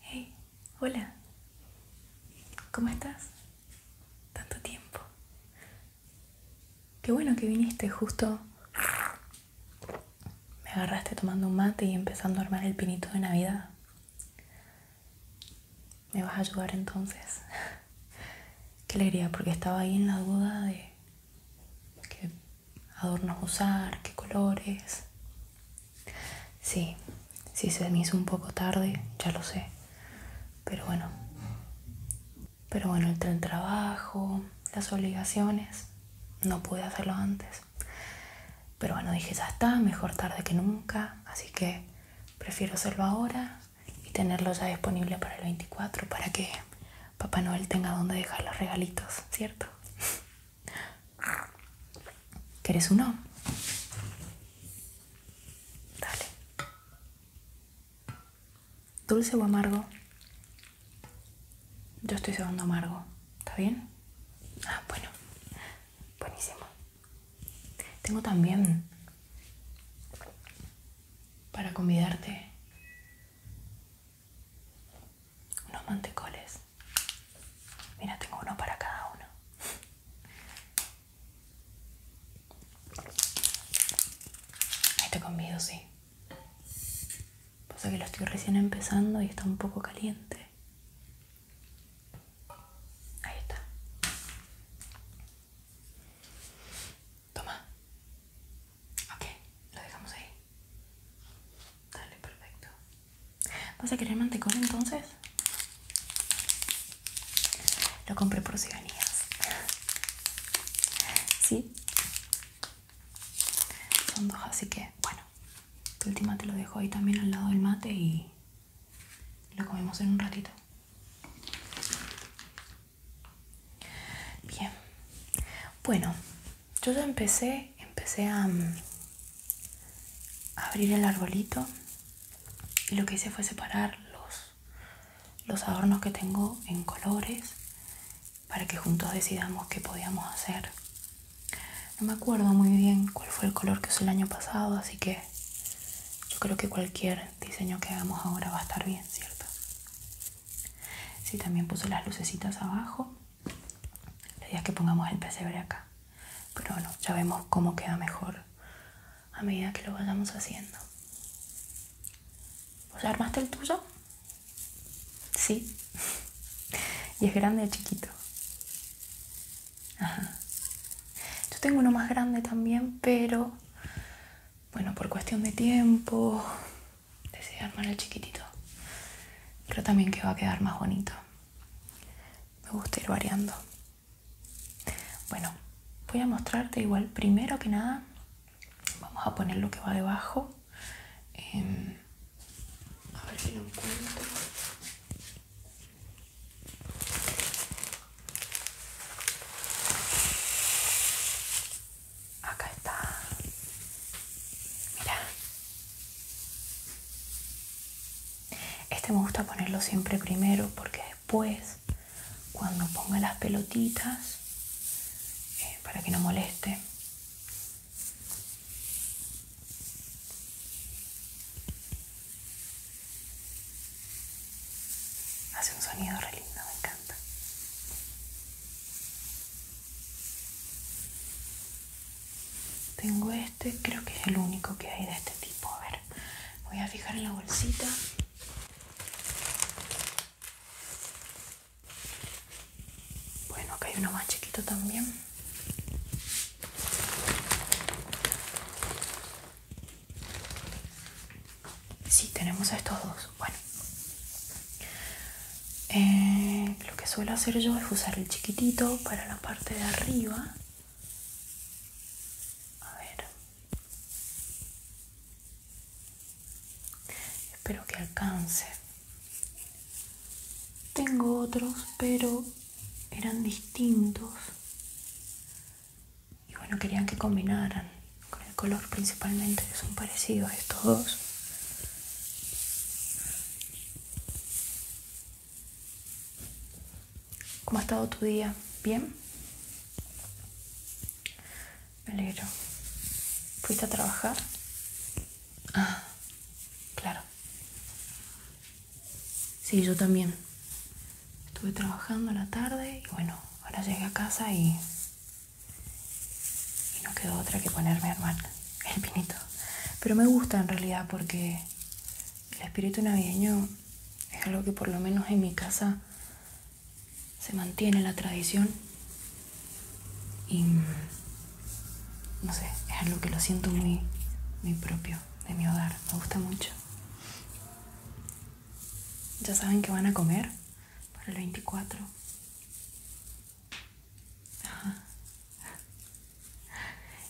Hey, hola. ¿Cómo estás? Tanto tiempo. Qué bueno que viniste justo. Me agarraste tomando un mate y empezando a armar el pinito de Navidad. ¿Me vas a ayudar entonces? Qué alegría, porque estaba ahí en la duda de qué adornos usar, qué colores. Sí, si se me hizo un poco tarde, ya lo sé. Pero bueno. Pero bueno, entre el trabajo, las obligaciones, no pude hacerlo antes. Pero bueno, dije, ya está, mejor tarde que nunca, así que prefiero hacerlo ahora y tenerlo ya disponible para el 24 para que Papá Noel tenga donde dejar los regalitos, ¿cierto? ¿Querés uno? Dale. ¿Dulce o amargo? Yo estoy siendo amargo, ¿está bien? Ah, bueno, buenísimo. Tengo también para convidarte unos mantecoles. Mira, tengo uno para cada uno. Ahí te convido, sí. Pasa que lo estoy recién empezando y está un poco caliente. Ahí está. Toma. Ok, lo dejamos ahí. Dale, perfecto. ¿Vas a querer mantecón entonces? Lo compré por si Sí. Son dos, así que bueno. tu última te lo dejo ahí también al lado del mate y lo comemos en un ratito. Bien. Bueno, yo ya empecé, empecé a, mm, abrir el arbolito y lo que hice fue separar los, los adornos que tengo en colores para que juntos decidamos qué podíamos hacer no me acuerdo muy bien cuál fue el color que usó el año pasado, así que yo creo que cualquier diseño que hagamos ahora va a estar bien, ¿cierto? Sí, también puse las lucecitas abajo. La idea que pongamos el pesebre acá. Pero bueno, ya vemos cómo queda mejor a medida que lo vayamos haciendo. ¿Vos armaste el tuyo? Sí. ¿Y es grande o chiquito? Yo tengo uno más grande también, pero bueno, por cuestión de tiempo, decidí armar el chiquitito. Creo también que va a quedar más bonito. Me gusta ir variando. Bueno, voy a mostrarte igual, primero que nada, vamos a poner lo que va debajo. Em, a ver si lo encuentro. Acá está. Mira. Este me gusta ponerlo siempre primero porque después, cuando ponga las pelotitas, eh, para que no moleste, Hace un sonido re lindo, me encanta. Tengo este, creo que es el único que hay de este tipo. A ver, voy a fijar en la bolsita. Bueno, acá hay uno más chiquito también. Sí, tenemos estos dos. Bueno, eh, lo que suelo hacer yo es usar el chiquitito para la parte de arriba. A ver, espero que alcance. Tengo otros, pero eran distintos y bueno querían que combinaran con el color principalmente que son parecidos estos dos ¿Cómo ha estado tu día? ¿Bien? Me alegro. ¿Fuiste a trabajar? Ah, claro. Sí, yo también. Estuve trabajando a la tarde y bueno, ahora llegué a casa y. no quedó otra que ponerme a el pinito. Pero me gusta en realidad porque el espíritu navideño es algo que por lo menos en mi casa se mantiene la tradición. Y. No sé, es algo que lo siento muy, muy propio de mi hogar, me gusta mucho. Ya saben que van a comer para el 24.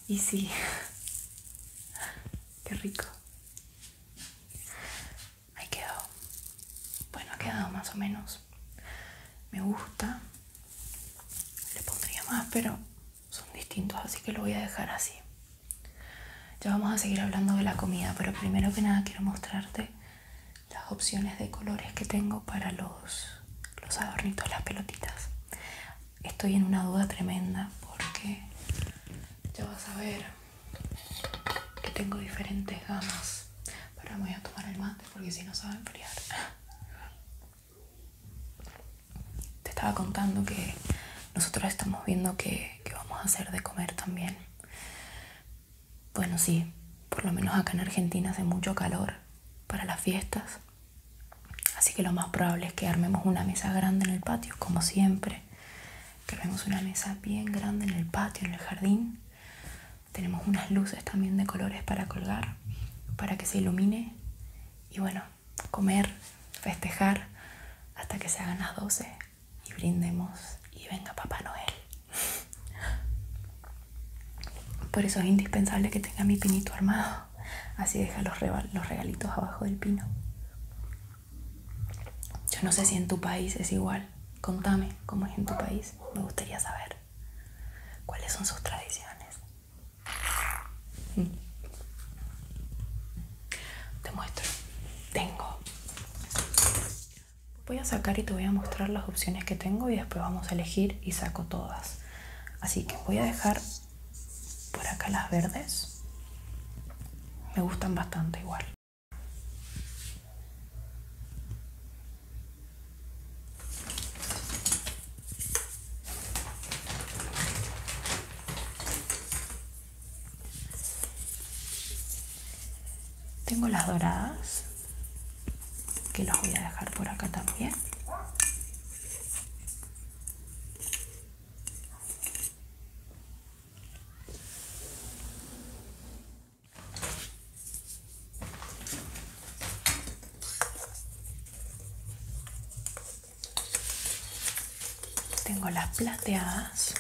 Y si qué rico. Ahí quedó. Bueno, ha quedado más o menos. Me gusta. Le pondría más, pero son distintos, así que lo voy a dejar así. Ya vamos a seguir hablando de la comida, pero primero que nada quiero mostrarte las opciones de colores que tengo para los, los adornitos, las pelotitas. Estoy en una duda tremenda porque ya vas a ver que tengo diferentes gamas. Pero me voy a tomar el mate porque si no se va a enfriar te estaba contando que nosotros estamos viendo que, vamos a hacer de comer también. Bueno, sí, por lo menos acá en Argentina hace mucho calor para las fiestas. Así que lo más probable es que armemos una mesa grande en el patio, como siempre. Que armemos una mesa bien grande en el patio, en el jardín. Tenemos unas luces también de colores para colgar, para que se ilumine. Y bueno, comer, festejar hasta que se hagan las 12 y brindemos y venga Papá Noel. Por eso es indispensable que tenga mi pinito armado. Así deja los, los regalitos abajo del pino. Yo no sé si en tu país es igual. Contame cómo es en tu país. Me gustaría saber cuáles son sus tradiciones. Mm. Te muestro. Tengo. Voy a sacar y te voy a mostrar las opciones que tengo y después vamos a elegir y saco todas. Así que voy a dejar por acá las verdes. Me gustan bastante igual. Tengo las doradas, que las voy a dejar por acá también. Tengo las plateadas.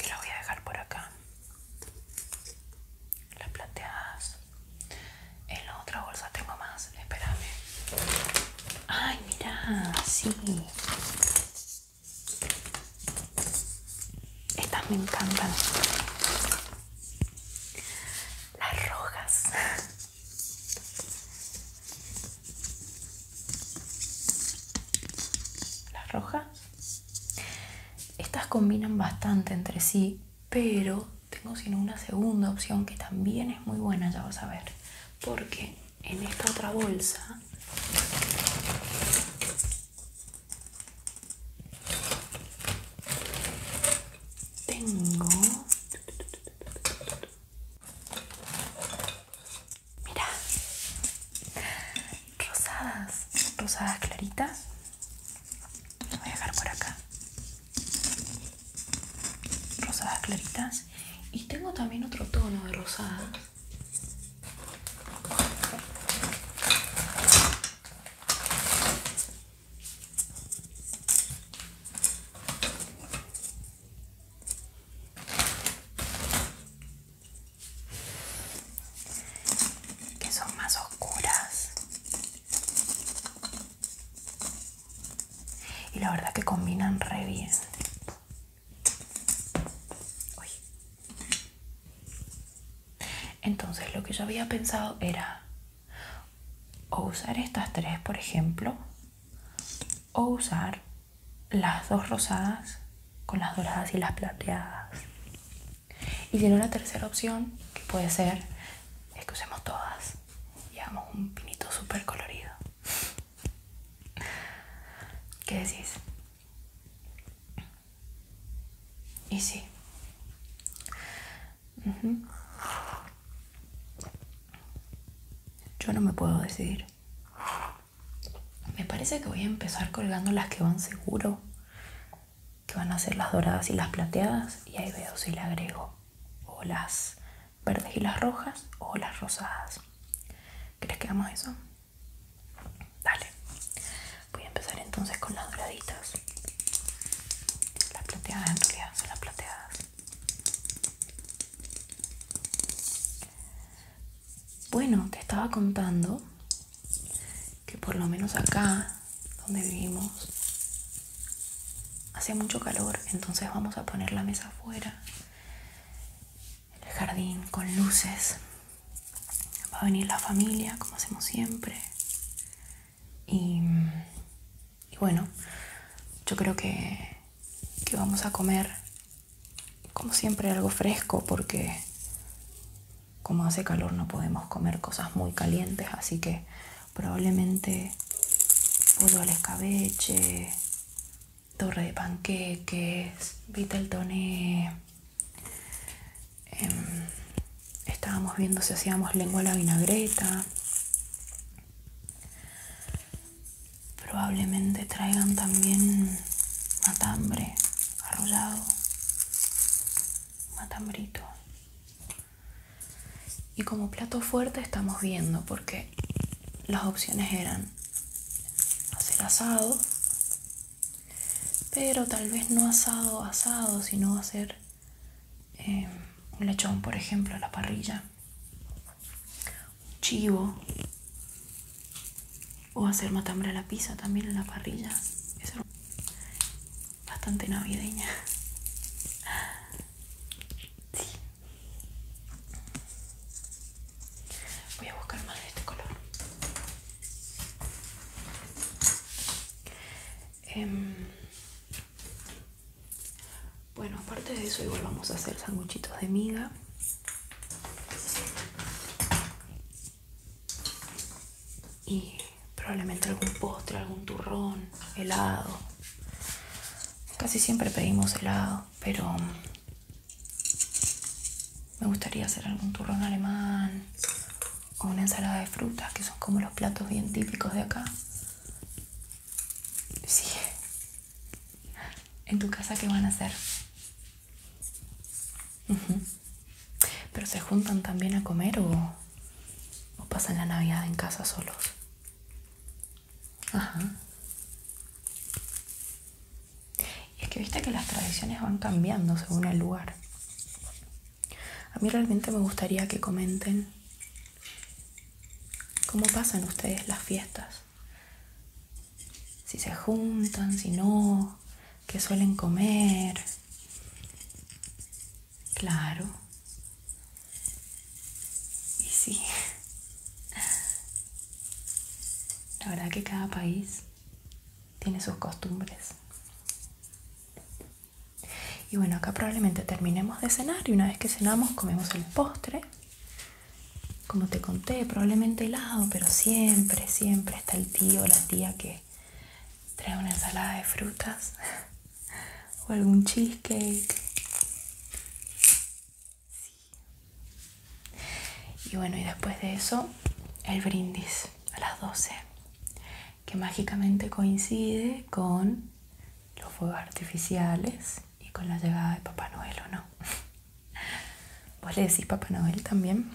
Y las voy a dejar por acá. Las plateadas. En la otra bolsa tengo más. Espérame. Ay, mira, sí. Estas me encantan. Las rojas. Las rojas. Estas combinan bastante entre sí, pero tengo sino una segunda opción que también es muy buena, ya vas a ver. Porque en esta otra bolsa tengo... Mira, rosadas, rosadas claritas. voy a dejar por acá. Rosadas claritas. Y tengo también otro tono de rosadas que son más oscuras y la verdad que combinan re bien entonces lo que yo había pensado era o usar estas tres, por ejemplo, o usar las dos rosadas con las doradas y las plateadas. Y tiene una tercera opción que puede ser es que usemos todas y hagamos un pinito súper colorido. ¿Qué decís? Y sí. Yo no me puedo decidir. Me parece que voy a empezar colgando las que van seguro, que van a ser las doradas y las plateadas, y ahí veo si le agrego o las verdes y las rojas o las rosadas. ¿Crees que hagamos eso? Dale, voy a empezar entonces con las doraditas. Las plateadas en realidad son las plateadas. Bueno, te estaba contando que por lo menos acá donde vivimos hace mucho calor, entonces vamos a poner la mesa afuera, el jardín con luces Va a venir la familia, como hacemos siempre. Y, bueno, yo creo que, vamos a comer, como siempre, algo fresco porque como hace calor no podemos comer cosas muy calientes, así que probablemente pollo al escabeche, torre de panqueques, vitel Em, estábamos viendo si hacíamos lengua a la vinagreta. Probablemente traigan también matambre arrollado, matambrito. Y como plato fuerte estamos viendo porque las opciones eran hacer asado pero tal vez no asado, asado, sino hacer em, un lechón, por ejemplo, a la parrilla, un chivo, o hacer matambre a la pizza también en la parrilla. Es bastante navideña. Voy a buscar más de este color. Em, bueno aparte de eso igual vamos a hacer sanguchitos de miga y probablemente algún postre algún turrón helado casi siempre pedimos helado pero mm, me gustaría hacer algún turrón alemán o una ensalada de frutas, que son como los platos bien típicos de acá. Sí. En tu casa, ¿qué van a hacer? ¿Pero se juntan también a comer o, o pasan la Navidad en casa solos? Ajá. Y es que viste que las tradiciones van cambiando según el lugar. A mí realmente me gustaría que comenten cómo pasan ustedes las fiestas. Si se juntan, si no, qué suelen comer. Claro. Y sí. La verdad que cada país tiene sus costumbres. Y bueno, acá probablemente terminemos de cenar y una vez que cenamos comemos el postre. Como te conté, probablemente helado, pero siempre, siempre está el tío o la tía que trae una ensalada de frutas o algún cheesecake. Y bueno, y después de eso, el brindis a las 12 que mágicamente coincide con los fuegos artificiales y con la llegada de Papá Noel o no. Vos le decís Papá Noel también,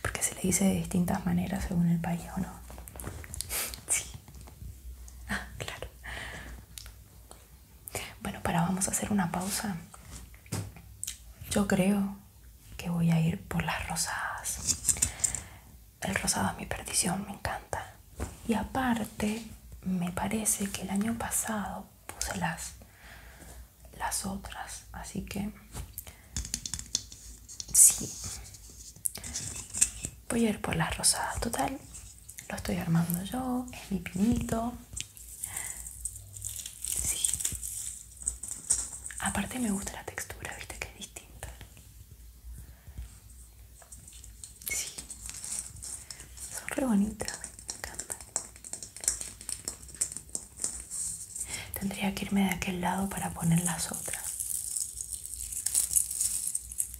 porque se le dice de distintas maneras según el país o no. Sí. Ah, claro. Bueno, para vamos a hacer una pausa. Yo creo que voy a ir por las rosadas. El rosado es mi perdición, me encanta. Y aparte, me parece que el año pasado puse las, las otras, así que sí. Voy a ir por las rosadas, total. Lo estoy armando yo, es mi pinito. Sí. Aparte me gusta la textura, viste que es distinta. Sí. Son re bonitas, me encantan. Tendría que irme de aquel lado para poner las otras.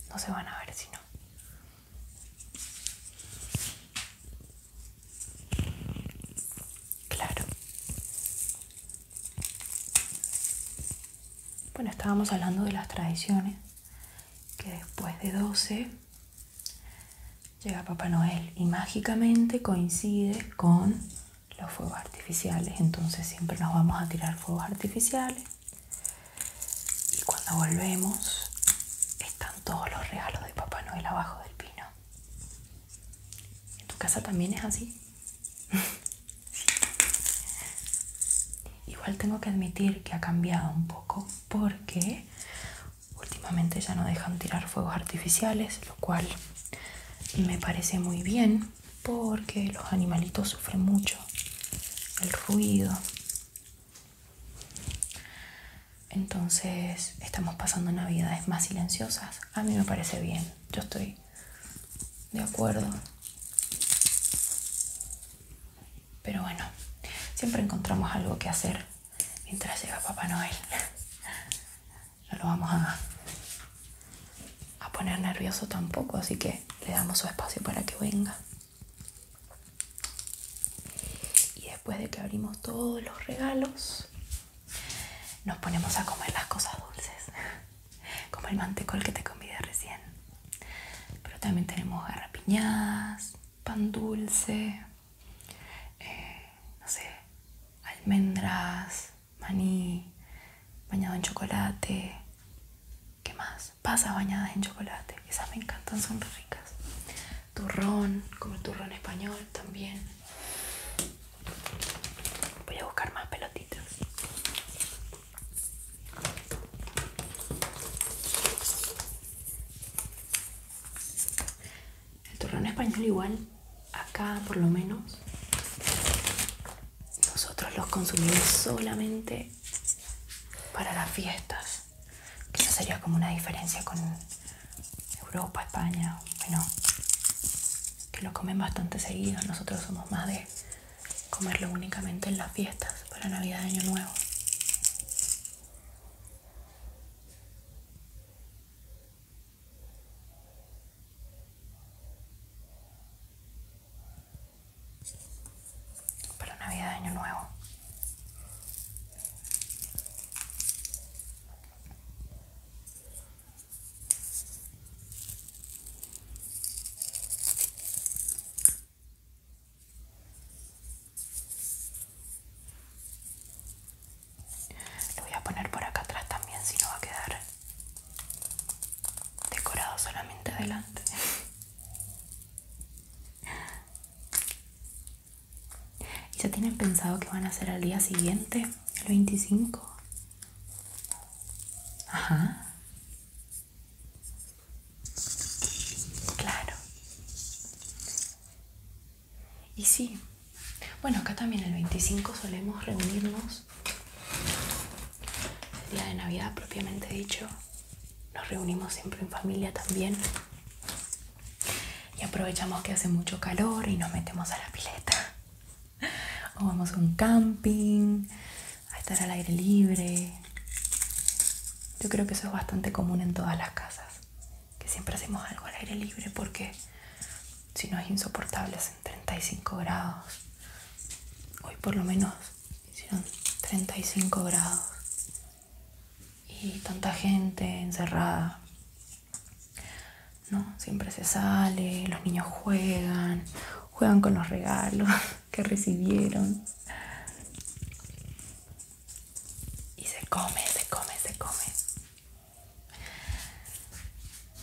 No se van a ver si no. Claro. Bueno, estábamos hablando de las tradiciones, que después de 12 llega Papá Noel y mágicamente coincide con los fuegos artificiales, entonces siempre nos vamos a tirar fuegos artificiales y cuando volvemos están todos los regalos de Papá Noel abajo del pino. ¿En tu casa también es así? Igual tengo que admitir que ha cambiado un poco porque últimamente ya no dejan tirar fuegos artificiales, lo cual me parece muy bien porque los animalitos sufren mucho el ruido. Entonces estamos pasando navidades más silenciosas. A mí me parece bien. Yo estoy ¿De acuerdo? Pero bueno, siempre encontramos algo que hacer mientras llega Papá Noel. No lo vamos a, a poner nervioso tampoco, así que le damos su espacio para que venga. Y después de que abrimos todos los regalos, nos ponemos a comer las cosas dulces, como el mantecol que te convidé recién. Pero también tenemos garrapiñadas, pan dulce, eh, no sé, almendras, maní, bañado en chocolate. ¿Qué más? Pasas bañadas en chocolate. Esas me encantan, son ricas. Turrón, como el turrón español también. Voy a buscar más pelotitas. El turrón español igual, acá por lo menos, nosotros los consumimos solamente para las fiestas. Quizás sería como una diferencia con Europa, España, bueno, que lo comen bastante seguido. Nosotros somos más de comerlo únicamente en las fiestas, para Navidad de Año Nuevo. Para Navidad Año Nuevo. Lo voy a poner por acá atrás también, si no va a quedar decorado solamente adelante. ¿Y ya tienen pensado que van a hacer al día siguiente, el 25? Ajá. Claro. Y sí, bueno, acá también el 25 solemos reunirnos, el día de Navidad propiamente dicho, nos reunimos siempre en familia también y aprovechamos que hace mucho calor y nos metemos a la pileta o vamos a un camping, a estar al aire libre. Yo creo que eso es bastante común en todas las casas, que siempre hacemos algo al aire libre porque si no es insoportable, hacen 35 grados. Hoy por lo menos hicieron 35 grados y tanta gente encerrada. ¿no? Siempre se sale, los niños juegan, juegan con los regalos que recibieron. Y se come, se come, se come.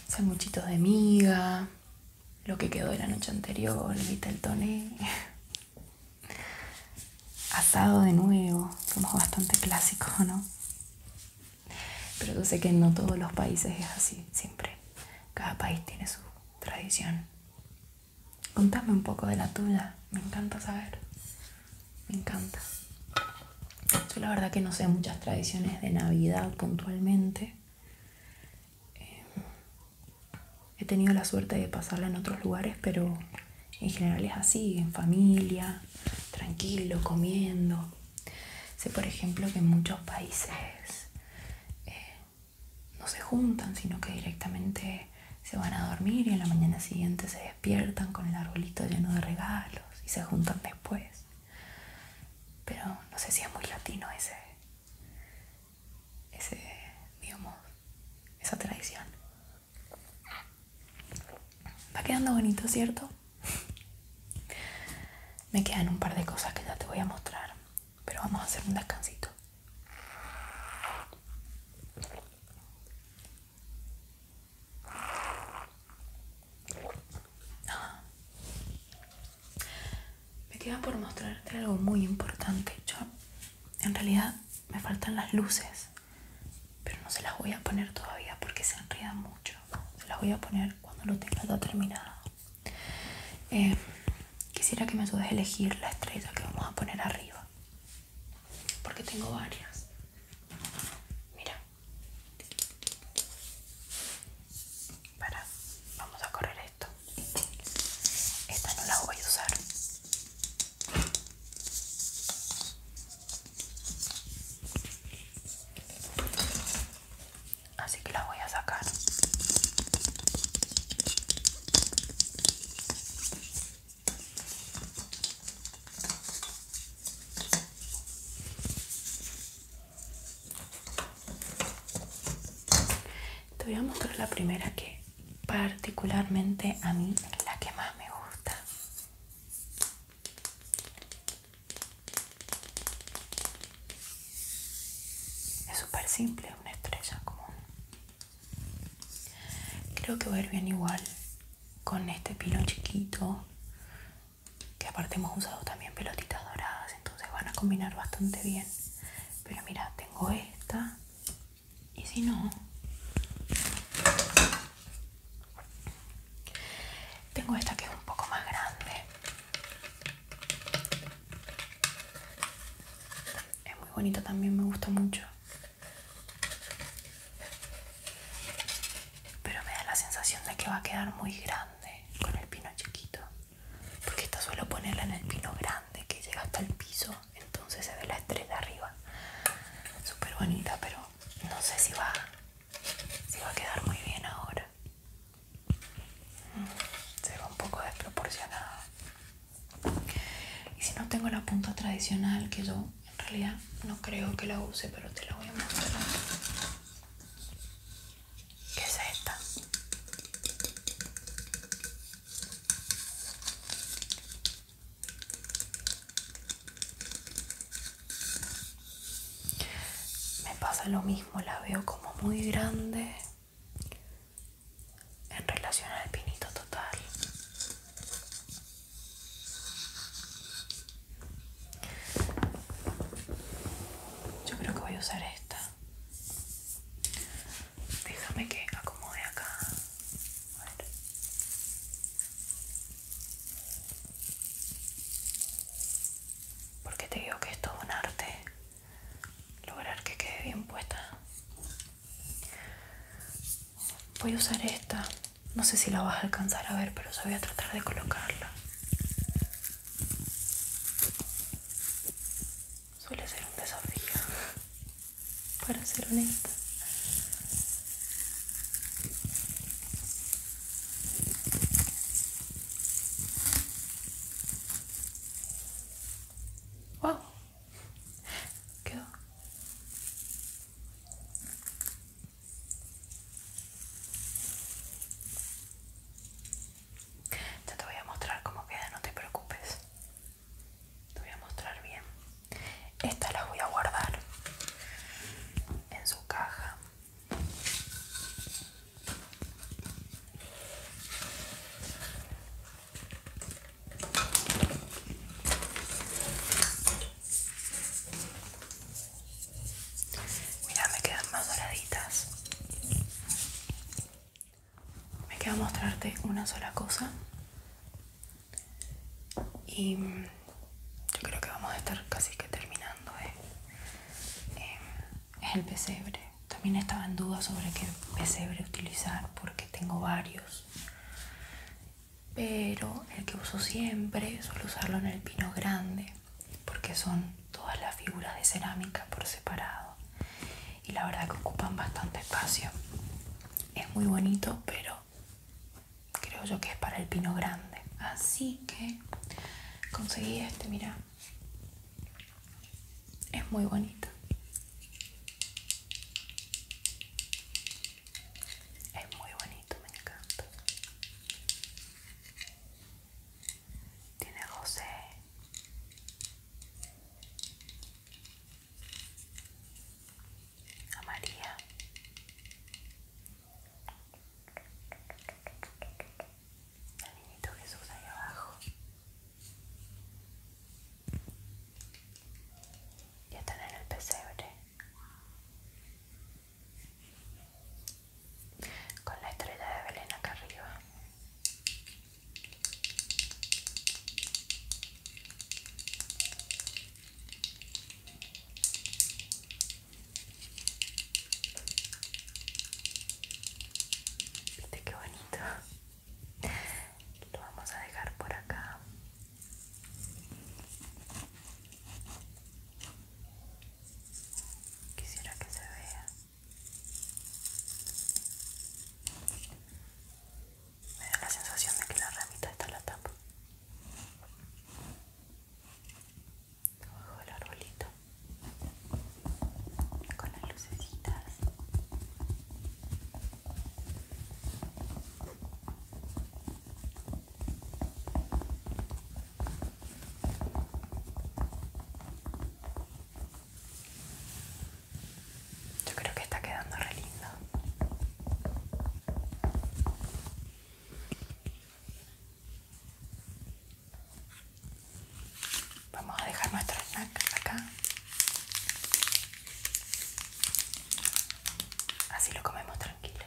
Son muchitos de miga, lo que quedó de la noche anterior, viste el toné. Asado de nuevo, somos bastante clásicos, ¿no? Pero yo sé que no todos los países es así, siempre. Cada país tiene su tradición. Contame un poco de la tuya, me encanta saber. Me encanta. Yo la verdad que no sé muchas tradiciones de Navidad puntualmente. Eh, he tenido la suerte de pasarla en otros lugares, pero en general es así, en familia, tranquilo, comiendo. Sé, por ejemplo, que en muchos países eh, no se juntan, sino que directamente se van a dormir y en la mañana siguiente se despiertan con el arbolito lleno de regalos y se juntan después. Pero no sé si es muy latino ese, ese digamos, esa tradición. Va quedando bonito, ¿cierto? me quedan un par de cosas que ya te voy a mostrar pero vamos a hacer un descansito ah. me queda por mostrarte algo muy importante en realidad me faltan las luces pero no se las voy a poner todavía porque se enredan mucho se las voy a poner cuando lo tenga todo terminado eh, quisiera que me ayudes a elegir la estrella que vamos a poner arriba porque tengo varias mira para vamos a correr esto esta no la voy a usar así que la voy a sacar te voy a mostrar la primera que particularmente a mí es la que más me gusta es súper simple, una estrella común. Creo que va a ir bien igual con este pino chiquito, que aparte hemos usado también pelotitas doradas, entonces van a combinar bastante bien. Pero mira, tengo esta y si no, tengo esta que es un poco más grande es muy bonito también, me gusta mucho. Pero me da la sensación de que va a quedar muy grande con el pino chiquito. Porque esta suelo ponerla en el pino grande que llega hasta el piso. Entonces se ve la estrella arriba. Súper bonita, pero no sé si va, si va a quedar muy bien ahora se ve un poco desproporcionada y si no tengo la punta tradicional que yo en realidad no creo que la use pero te la voy a mostrar que es esta me pasa lo mismo, la veo como muy grande en relación al pinito total. Yo creo que voy a usar esta. Déjame que acomode acá porque te digo que es todo un arte lograr que quede bien puesta. Voy a usar esta, no sé si la vas a alcanzar a ver, pero voy a tratar de colocarla. Suele ser un desafío, para ser honesta. Wow, Ya te voy a mostrar cómo queda, no te preocupes. Te voy a mostrar bien. Esta la voy a guardar en su caja. Mira, me quedan más doraditas. Me queda mostrarte una sola cosa. Y mm, yo creo que vamos a estar casi que terminando. ¿eh? Eh, es el pesebre. También estaba en duda sobre qué pesebre utilizar porque tengo varios. Pero el que uso siempre suelo usarlo en el pino grande porque son todas las figuras de cerámica por separado. Y la verdad que ocupan bastante espacio. Es muy bonito, pero creo yo que es para el pino grande. Así que conseguí este, mira. Es muy bonito. Es muy bonito, me encanta. Tiene José. A María. El niñito Jesús ahí abajo. Ya están en el pesebre. Con la estrella de Belén acá arriba. Viste qué bonito. Lo vamos a dejar por acá. Quisiera que se vea. Me da la sensación de que la ramita está en la tapa abajo del arbolito con las lucecitas yo creo que está quedando re lindo Vamos a dejar nuestro snack acá. Así lo comemos tranquila.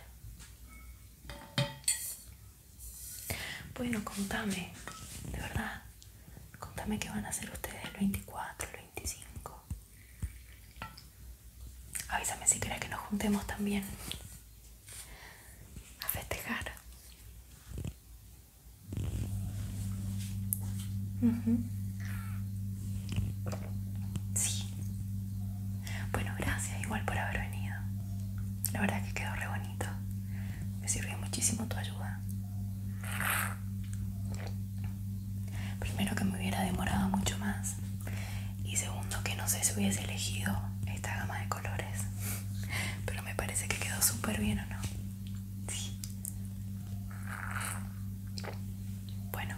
Bueno, contame, de verdad, contame qué van a hacer ustedes el 24, el 25. Avísame si querés que nos juntemos también a festejar. Sí. Bueno, gracias igual por haber venido. La verdad que quedó re bonito. Me sirvió muchísimo tu ayuda. Primero que me hubiera demorado mucho más. Y segundo que no sé si hubiese elegido esta gama de colores Pero me parece que quedó súper bien o no Sí Bueno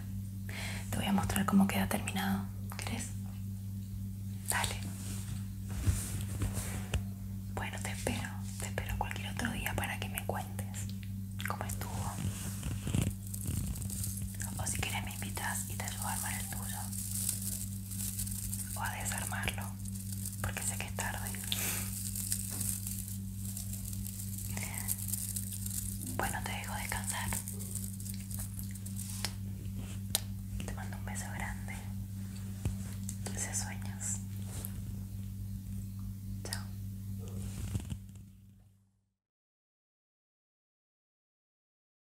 Te voy a mostrar cómo queda terminado ¿Crees? Dale Bueno te espero Te espero cualquier otro día para que me cuentes Cómo estuvo O si quieres me invitas Y te ayudo a armar el tuyo o a desarmarlo porque sé que es tarde bueno te dejo descansar te mando un beso grande dulces sueños chao